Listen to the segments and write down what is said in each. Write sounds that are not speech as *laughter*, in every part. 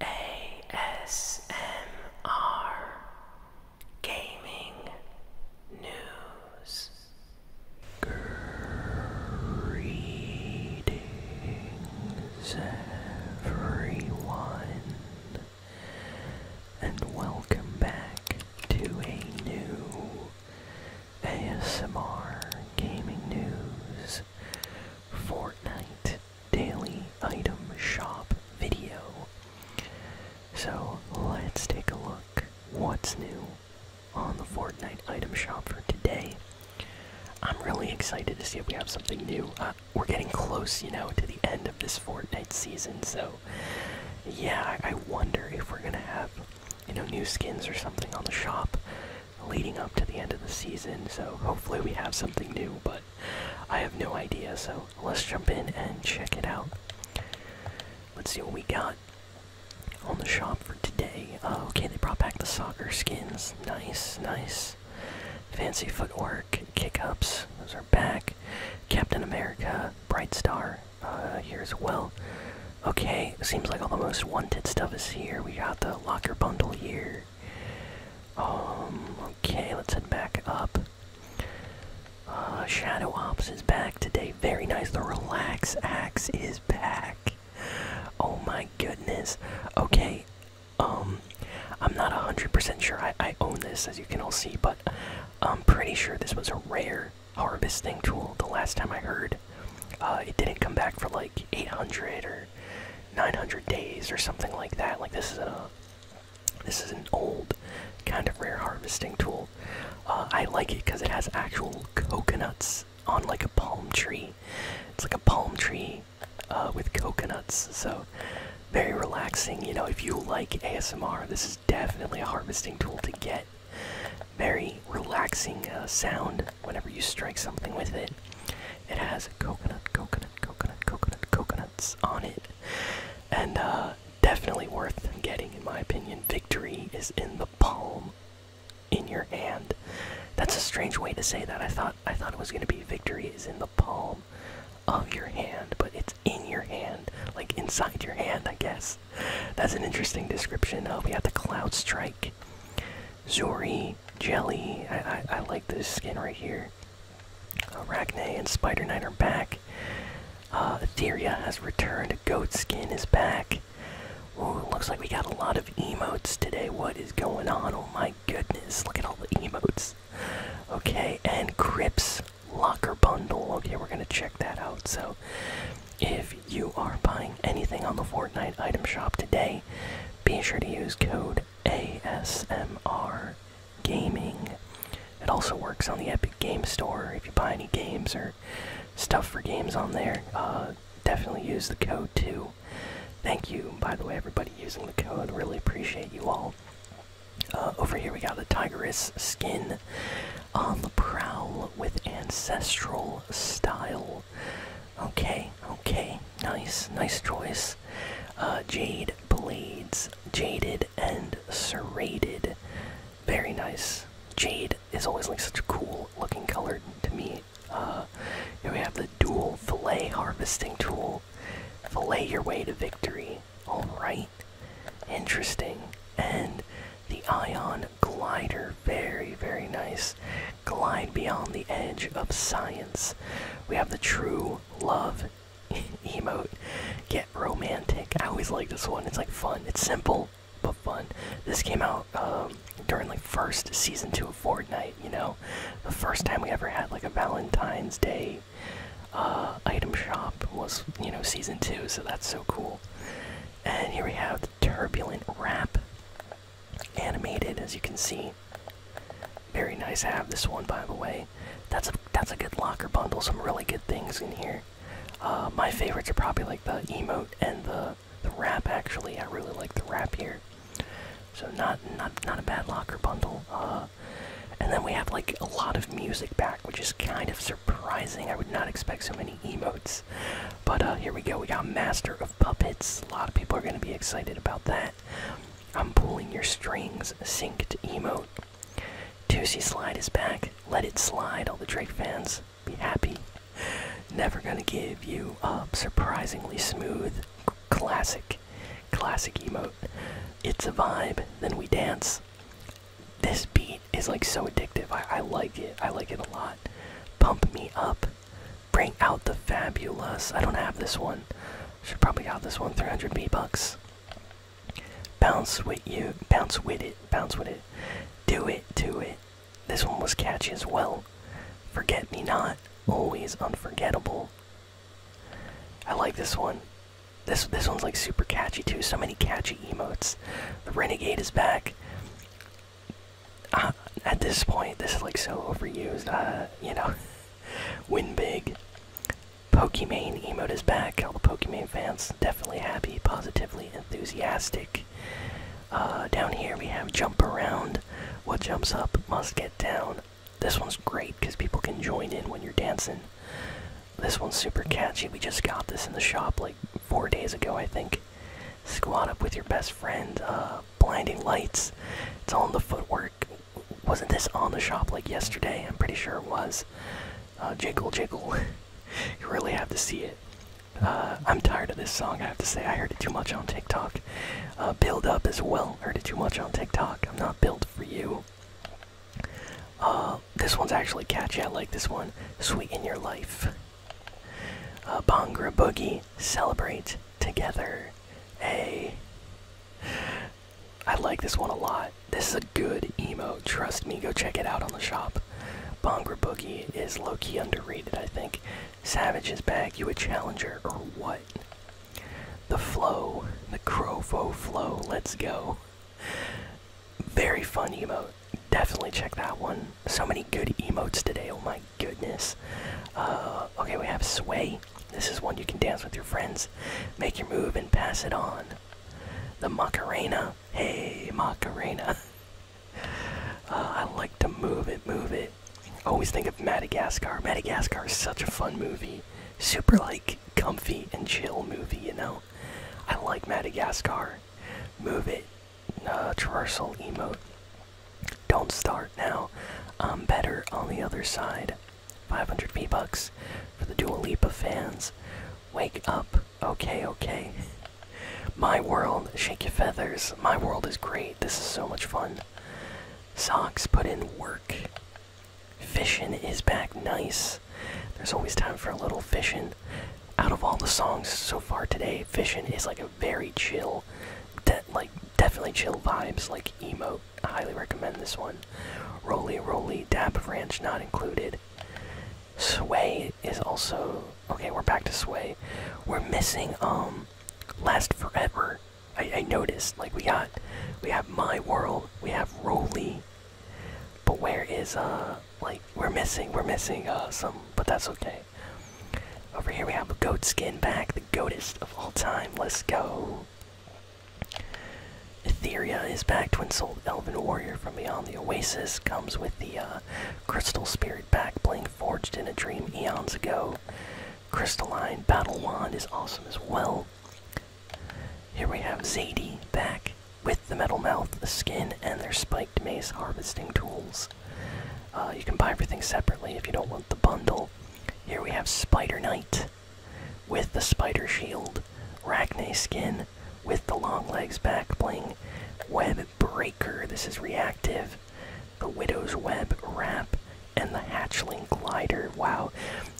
ASMR Gaming News Greetings everyone and welcome back to a new ASMR Gaming News Fortnite daily item shop video. So let's take a look what's new on the Fortnite item shop for today. I'm really excited to see if we have something new. Uh, we're getting close, you know, to the end of this Fortnite season, so yeah, I wonder if we're gonna have, you know, new skins or something on the shop leading up to the end of the season, so hopefully we have something new, but I have no idea, so let's jump in and check it out. Let's see what we got on the shop for today. Uh, okay, they brought back the soccer skins. Nice, nice. Fancy footwork, kick ups, those are back. Captain America, Bright Star, uh, here as well. Okay, seems like all the most wanted stuff is here. We got the locker bundle here. Um, okay, let's head back up. Uh, Shadow Ops is back today. Very nice. The Relax Axe is back. Oh my goodness. Okay, um, I'm not 100% sure I, own this, as you can all see, but I'm pretty sure this was a rare harvesting tool the last time I heard. Uh, it didn't come back for like 800 or 900 days or something like that. Like this is a this is an old kind of rare harvesting tool. Uh, I like it because it has actual coconuts on like a palm tree. It's like a palm tree uh, with coconuts, so very relaxing. You know, if you like ASMR, this is definitely a harvesting tool to get. Very relaxing uh, sound whenever you strike something with it, it has coconut, coconut, coconut, coconut, coconuts on it. And uh, definitely worth getting, in my opinion. Victory is in the palm in your hand. That's a strange way to say that. I thought I thought it was gonna be victory is in the palm of your hand, but it's in your hand, like inside your hand, I guess. That's an interesting description. Uh, we have the Cloud Strike, Zuri, Jelly. I, I, like this skin right here. Arachne and Spider Knight are back. Uh, Etheria has returned. Goat skin is back. Ooh, looks like we got a lot of emotes today. What is going on? Oh my goodness. Look at all the emotes. Okay, and Crips Locker Bundle. Okay, we're going to check that out. So, if you are buying anything on the Fortnite item shop today, be sure to use code ASMR Gaming. It also works on the Epic Game Store if you buy any games or stuff for games on there. Uh, definitely use the code too. Thank you, by the way, everybody using the code. Really appreciate you all. Uh, over here we got the Tigress skin on the prowl with ancestral style. Okay, okay, nice, nice choice. Uh, jade Blades, Jaded and Serrated. Very nice. Jade is always like such a cool looking color to me. Uh, here we have the dual fillet harvesting tool. Fillet your way to victory. Alright. Interesting. And the ion glider. Very, very nice glide beyond the edge of science. We have the true love *laughs* emote. Get romantic. I always like this one. It's like fun. It's simple but fun. This came out um, during like first season two of Fortnite. You know, the first time we ever had like a Valentine's Day uh, item shop was you know season two. So that's so cool. And here we have the turbulent rap animated, as you can see. Very nice have this one, by the way. That's a that's a good locker bundle. Some really good things in here. Uh, my favorites are probably like the emote and the the wrap. Actually, I really like the wrap here. So not not not a bad locker bundle. Uh, and then we have like a lot of music back, which is kind of surprising. I would not expect so many emotes. But uh, here we go. We got Master of Puppets. A lot of people are going to be excited about that. I'm pulling your strings, synced emote. Toosey Slide is back. Let it slide, all the Drake fans. Be happy. Never gonna give you up. Surprisingly smooth. Classic. Classic emote. It's a vibe, then we dance. This beat is like so addictive. I like it. I like it a lot. Pump me up. Bring out the fabulous. I don't have this one. Should probably have this one. 300 B bucks. Bounce with you. Bounce with it. Bounce with it. Do it. Do it. This one was catchy as well. Forget me not. Always unforgettable. I like this one. This this one's like super catchy too. So many catchy emotes. The renegade is back. Uh, at this point, this is like so overused. Uh, you know, *laughs* Win big. Pokimane emote is back. All the Pokimane fans definitely happy, positively enthusiastic. Uh, down here we have jump around. What jumps up must get down. This one's great because people can join in when you're dancing. This one's super catchy. We just got this in the shop like four days ago, I think. Squat up with your best friend. Uh, blinding lights. It's all in the footwork wasn't this on the shop like yesterday? I'm pretty sure it was. Uh, jiggle, jiggle. *laughs* you really have to see it. Uh, I'm tired of this song, I have to say. I heard it too much on TikTok. Uh, build Up as well. Heard it too much on TikTok. I'm not built for you. Uh, this one's actually catchy. I like this one. Sweeten Your Life. Bongra Boogie. Celebrate Together. Hey. I like this one a lot. This is a good emo. Trust me, go check it out on the shop. Bongra Boogie is low key underrated, I think. Savage is back. You a challenger or what? The flow. The Crofo flow. Let's go. Very fun emo. Definitely check that one. So many good emotes today. Oh my goodness. Uh, okay, we have Sway. This is one you can dance with your friends, make your move, and pass it on. The Macarena. Hey, Macarena. *laughs* Uh, I like to move it, move it. always think of Madagascar. Madagascar is such a fun movie. Super, like, comfy and chill movie, you know? I like Madagascar. Move it. Uh, traversal emote. Don't start now. I'm better on the other side. 500 V bucks for the leap of fans. Wake up. Okay, okay. *laughs* My World, Shake Your Feathers. My World is great. This is so much fun. Socks put in work. Fishing is back. Nice. There's always time for a little fishing. Out of all the songs so far today, fishing is like a very chill, like definitely chill vibes, like emo I highly recommend this one. Roly Roly Dap Ranch not included. Sway is also okay. We're back to Sway. We're missing um Last Forever. I, I noticed like we got we have My World. We have Roly. But where is uh like we're missing we're missing uh some but that's okay. Over here we have a goat skin back, the goatest of all time. Let's go. Etheria is back. Twin Souled Elven Warrior from Beyond the Oasis comes with the uh, Crystal Spirit back bling forged in a dream eons ago. Crystalline Battle Wand is awesome as well. Here we have Zadie back with the Metal Mouth, the skin, and their spiked mace harvesting tools. Uh, you can buy everything separately if you don't want the bundle. Here we have Spider Knight with the spider shield, Rachne skin with the long legs back bling, web breaker. This is reactive. The widow's web wrap and the hatchling glider. Wow.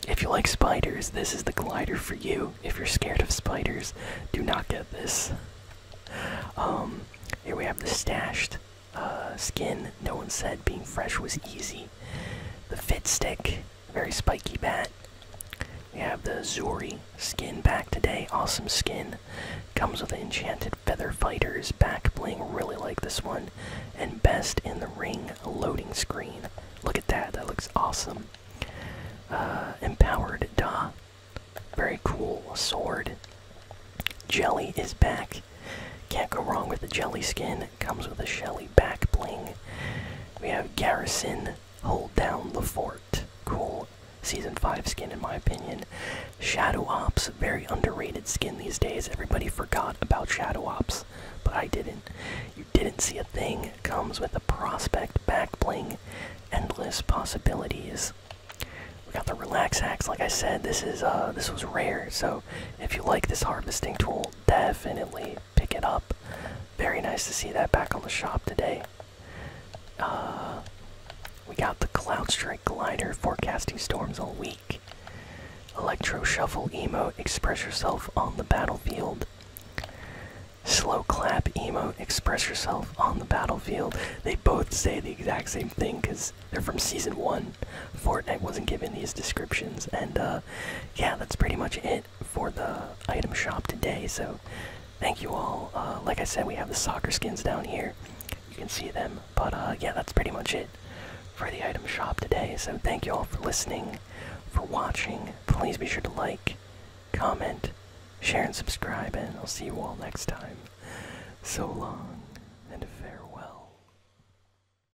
If you like spiders, this is the glider for you. If you're scared of spiders, do not get this. Um, here we have the stashed uh, skin. No one said being fresh was easy. The Fit Stick, very spiky bat. We have the Zuri skin back today. Awesome skin. Comes with enchanted feather fighters. Back bling. Really like this one. And best in the ring loading screen. Look at that. That looks awesome. Uh, empowered Da. Very cool sword. Jelly is back. Can't go wrong with the jelly skin. It comes with a shelly back bling. We have Garrison Hold Down the Fort. Cool. Season 5 skin, in my opinion. Shadow Ops, very underrated skin these days. Everybody forgot about Shadow Ops, but I didn't. You didn't see a thing. Comes with a prospect back bling. Endless possibilities. We got the relax axe. Like I said, this is uh, this was rare. So if you like this harvesting tool, definitely pick it up. Very nice to see that back on the shop today. Uh, we got the Cloud Strike Glider forecasting storms all week. Electro Shuffle emo express yourself on the battlefield. Slow Clap emo express yourself on the battlefield. They both say the exact same thing because they're from season one. Fortnite wasn't given these descriptions, and uh, yeah, that's pretty much it for the item shop today. So, thank you all. Uh, like I said, we have the soccer skins down here. You can see them. But uh, yeah, that's pretty much it for the item shop today. So, thank you all for listening, for watching. Please be sure to like, comment, share, and subscribe. And I'll see you all next time. So long and farewell.